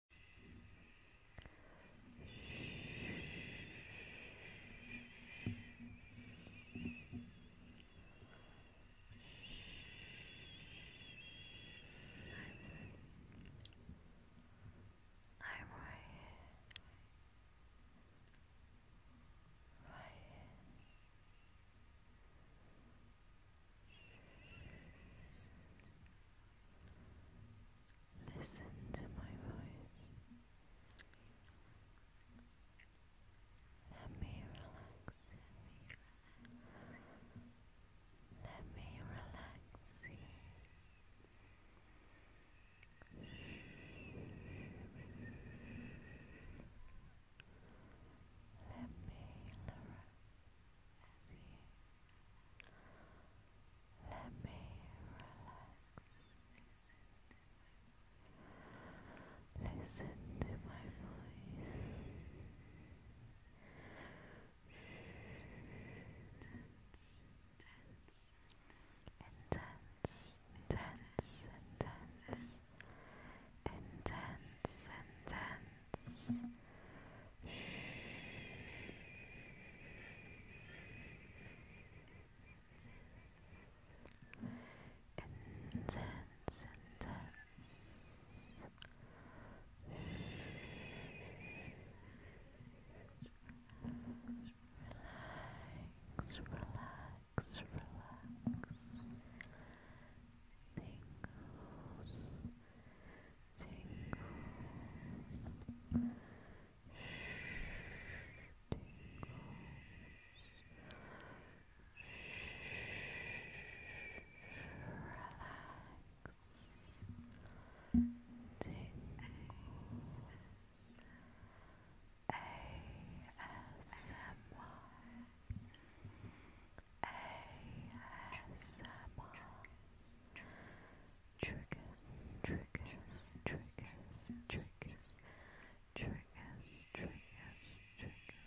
I'm right here. Right here. Right Listen. Listen to my voice. Let me relax. Let me relax you. Let me relax you. Let me relax. Listen to my voice. Intense, intense, intense, intense, intense, intense, intense intense, intense. Relax, relax, relax. Tingles, tingles, shh, tingles, shh, relax, tingles. ASMR ASMR triggers, triggers, triggers, triggers, triggers, triggers, triggers, triggers. It's okay.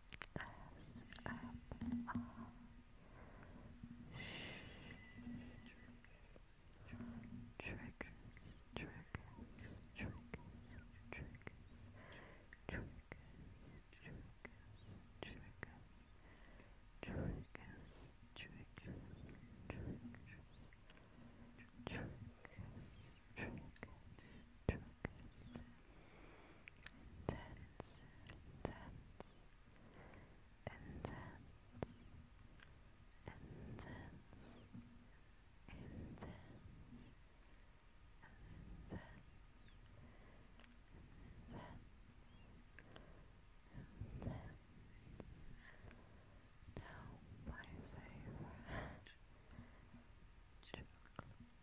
triggers, triggers, triggers, triggers, intense, intense, intense, intense, intense, intense, intense. now my favorite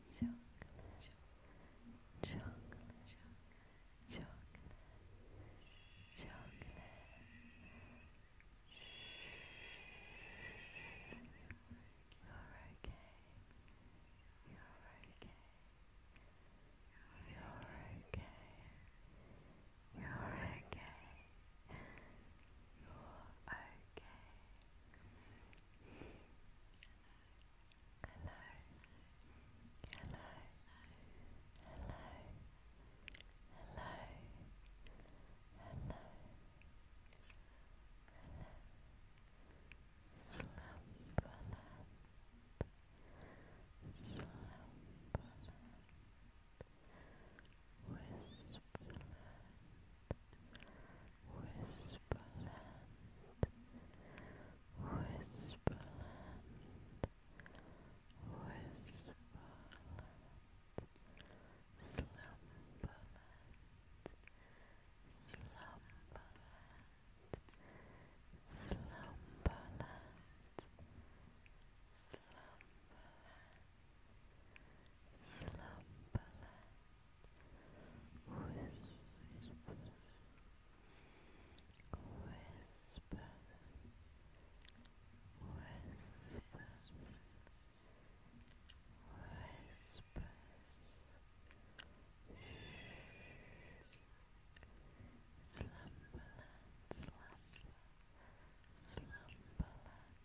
chocolate, chocolate, chocolate, chocolate. You're okay. You're okay. You're okay. You're okay. You're okay hello, hello, hello, hello, hello, hello, slumberland, slumberland, Whisperland, Whisperland, Whisperland, Whisperland, Slumberland, Slumberland, Slumberland, Slumberland, Slumberland. Whisper, whisper, whispers, whispers. Slumberland, slumber, slumberland,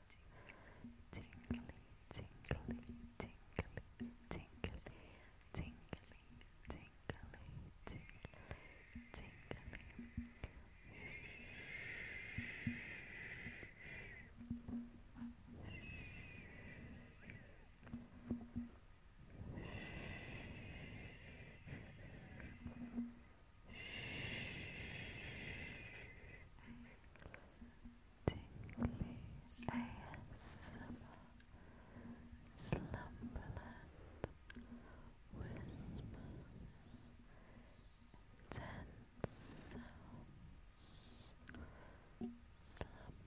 tingly, tingly, tingly, tingly, tingly, tingly, tingly, tingly. Thanks. Tingly ASMR Slumberland Whispers Intense Sounds Whispers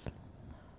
Slumberland